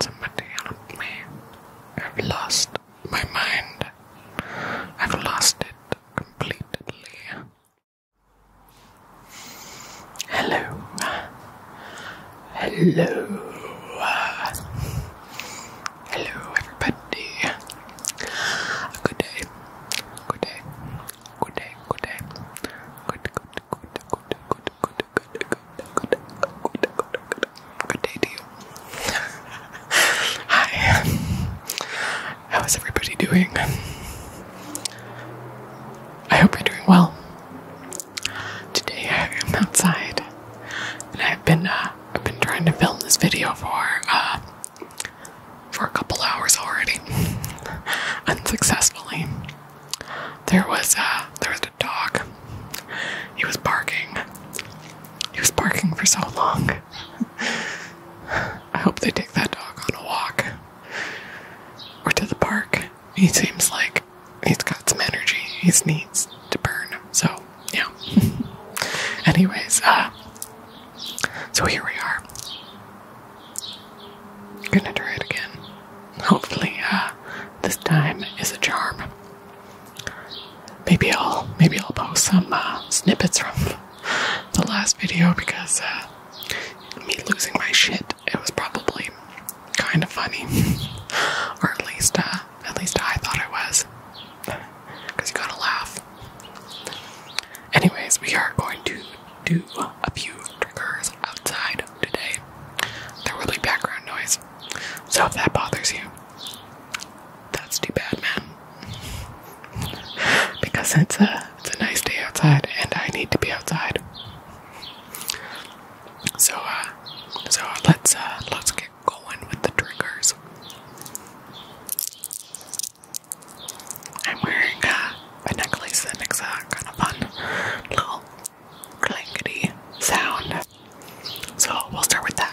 Somebody help me. I've lost my mind. I've lost it completely. Hello. Hello. Hello, everybody. Good day. Good day. Good day. Good day. Good, good, good, good, good, good, good, good, good, good, good, good, good day to you. Hi. How is everybody doing? I hope you're doing well. Today I am outside, and I've been uh, I've been trying to film this video for uh, for a couple hours already, unsuccessfully there was uh there was a dog. He was barking. He was barking for so long. I hope they take that dog on a walk or to the park. He seems like he's got some energy. He needs to burn. So, yeah. Anyways, uh, so here we are. Gonna try it again. Hopefully, uh, this time is a charm. Maybe I'll maybe I'll post some uh, snippets from the last video because uh, me losing my shit it was probably kind of funny, or at least at least I thought it was you gotta laugh. Anyways, we are going to do a few triggers outside today, there will background noise. So if that bothers you, that's too bad, man. because it's a it's a nice day outside, and I need to be outside. So uh, so let's uh, let's get going with the drinkers. I'm wearing uh, a necklace that makes kind of fun little clankety sound. So we'll start with that.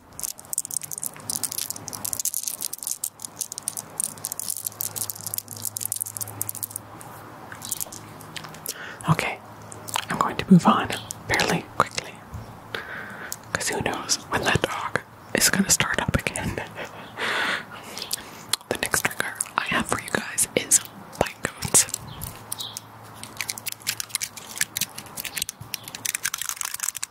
Okay, I'm going to move on fairly quickly. Because who knows when that dog is going to start up again. the next trigger I have for you guys is bite coats.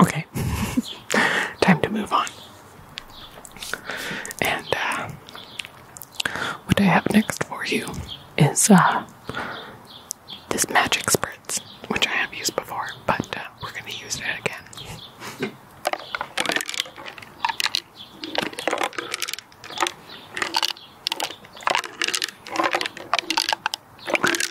Okay, time to move on. And uh, what I have next for you is uh, this magic spritz, which I have used before, but uh, we're going to use it again.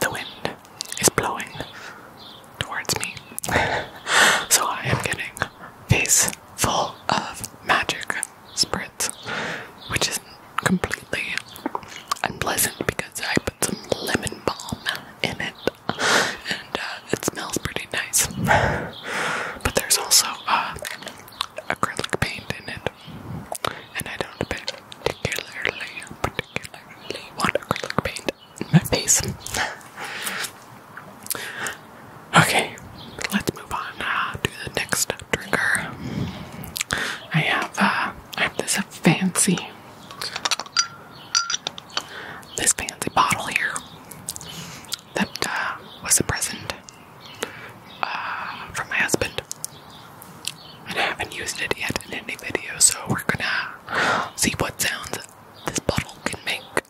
The wind is blowing towards me. so I am getting face full of magic spritz, which is completely unpleasant because I put some lemon balm in it and uh, it smells pretty nice. but there's also uh, acrylic paint in it, and I don't particularly, particularly want acrylic paint my face. Okay, let's move on uh, to the next drinker. I have uh, I have this fancy this fancy bottle here that uh, was a present from my husband, and I haven't used it yet in any video. So we're gonna see what sounds this bottle can make.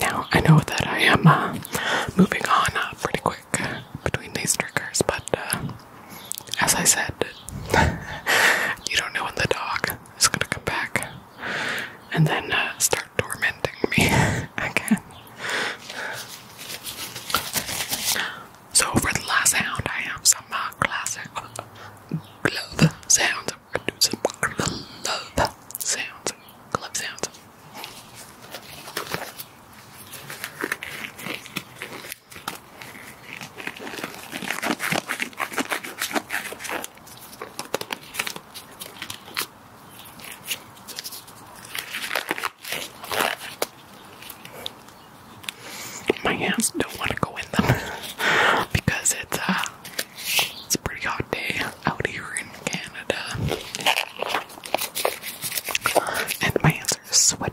Now I know that I am uh, moving on uh, pretty quick between these triggers, but uh, as I said, you don't know when the dog is gonna come back and then start tormenting me again. So for the last sound, I have some uh, classic club sounds. We're gonna do some glove sounds, glove sounds. My hands don't want to go in them because it's uh it's a pretty hot day out here in Canada. And my hands are sweaty.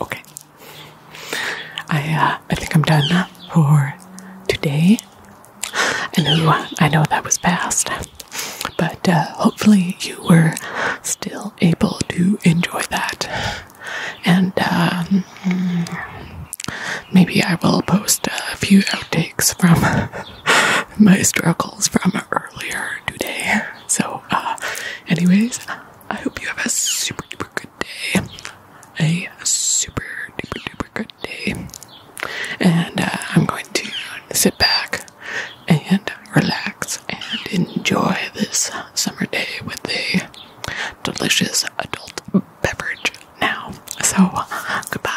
Okay. I uh, I think I'm done uh, for today. I know I know that was fast, but uh, hopefully you were still able to enjoy that. And um, maybe I will post a few outtakes from my struggles from earlier today. So, uh, anyways, I hope you have a super duper good day. A super duper duper good day. And uh, I'm going to sit back and relax and enjoy this summer day with a delicious adult beverage now. So, goodbye.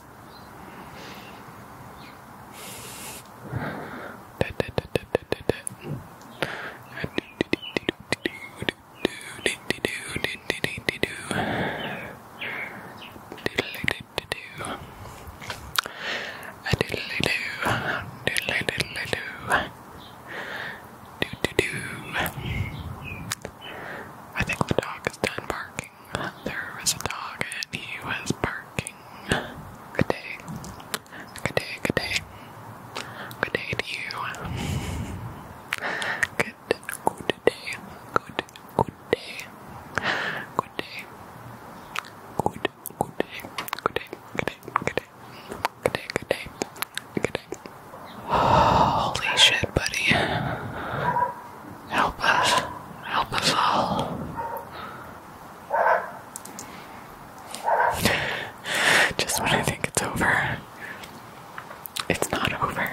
I think the dog is done barking. There was a dog and he was barking. Good day. Good day, good day. Good day to you. Good, good day. Good, good day. Good day. Good, good day. Good day, good day, good day. Good day, good day. Good day. Holy shit, buddy. Help us. Help us all. Just when I think it's over, it's not over.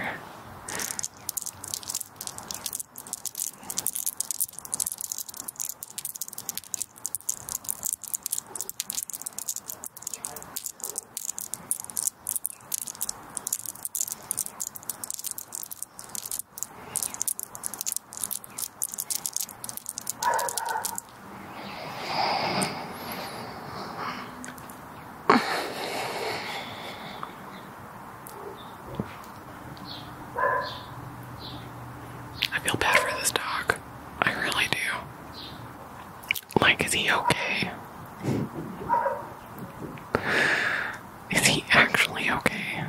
I feel bad for this dog. I really do. Like, is he okay? Is he actually okay?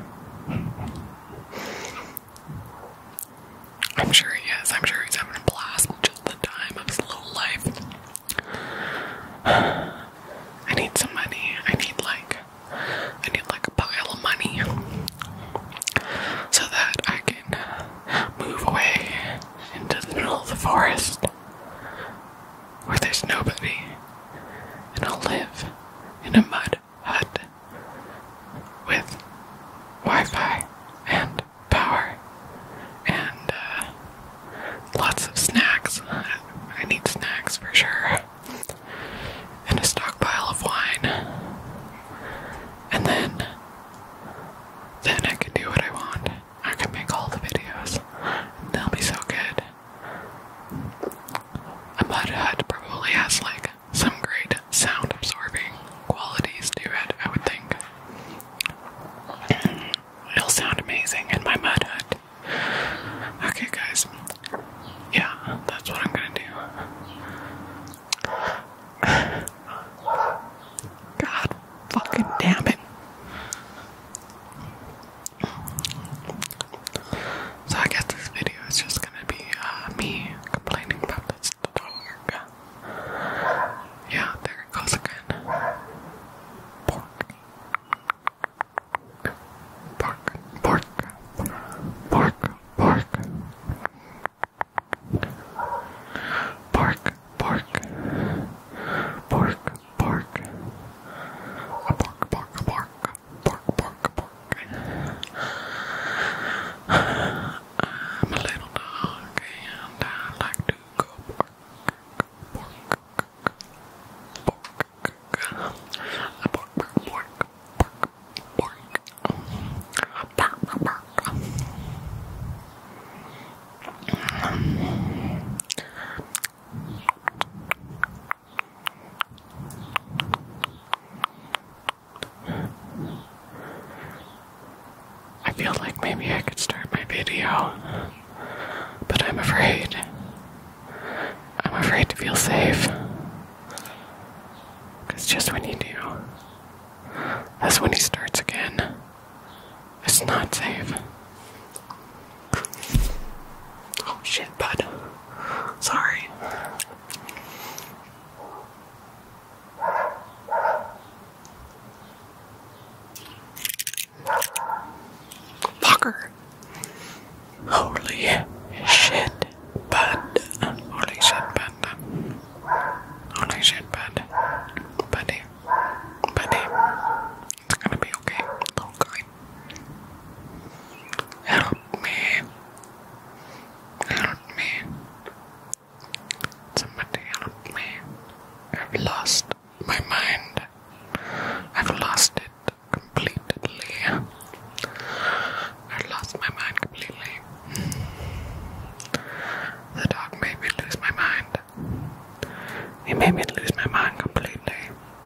I'm sure he is. I'm sure he's having a blast, just the time of his little life. I need some money. I need like, I need like a pile of money so that I can move away into the middle of the forest where there's nobody, and I'll live in a mud hut with Wi Fi and power and uh, lots of snacks. I need snacks for sure, and a stockpile of wine, and then. Then I can do what I want. I can make all the videos. And they'll be so good. A mud hut probably has like some great sound absorbing qualities to it, I would think. It'll sound amazing in my mud hut. Okay, guys. Yeah, that's what I'm gonna do. God fucking damn it. So I guess this video is just gonna be uh, me complaining about this dog. Yeah, there it goes again. Pork. Pork. Pork. Pork. Pork. Pork. Pork. Pork. Pork. A pork pork, pork, pork, pork. I'm a little dog and I like to go pork, pork, pork, pork, pork, pork, pork, pork, pork, pork, pork. Um, I feel like maybe I could start my video, but I'm afraid. I'm afraid to feel safe. Because just when you do, that's when he starts again. It's not safe oh shit, bud. Sorry. Holy shit, bud. Holy shit, bud. Holy shit, bud. Buddy. Buddy. It's gonna be okay, little guy. Help me. Help me. Somebody help me. I've lost my mind. I've lost it completely. i lost my mind completely. The dog made me lose my mind. He made me lose my mind completely.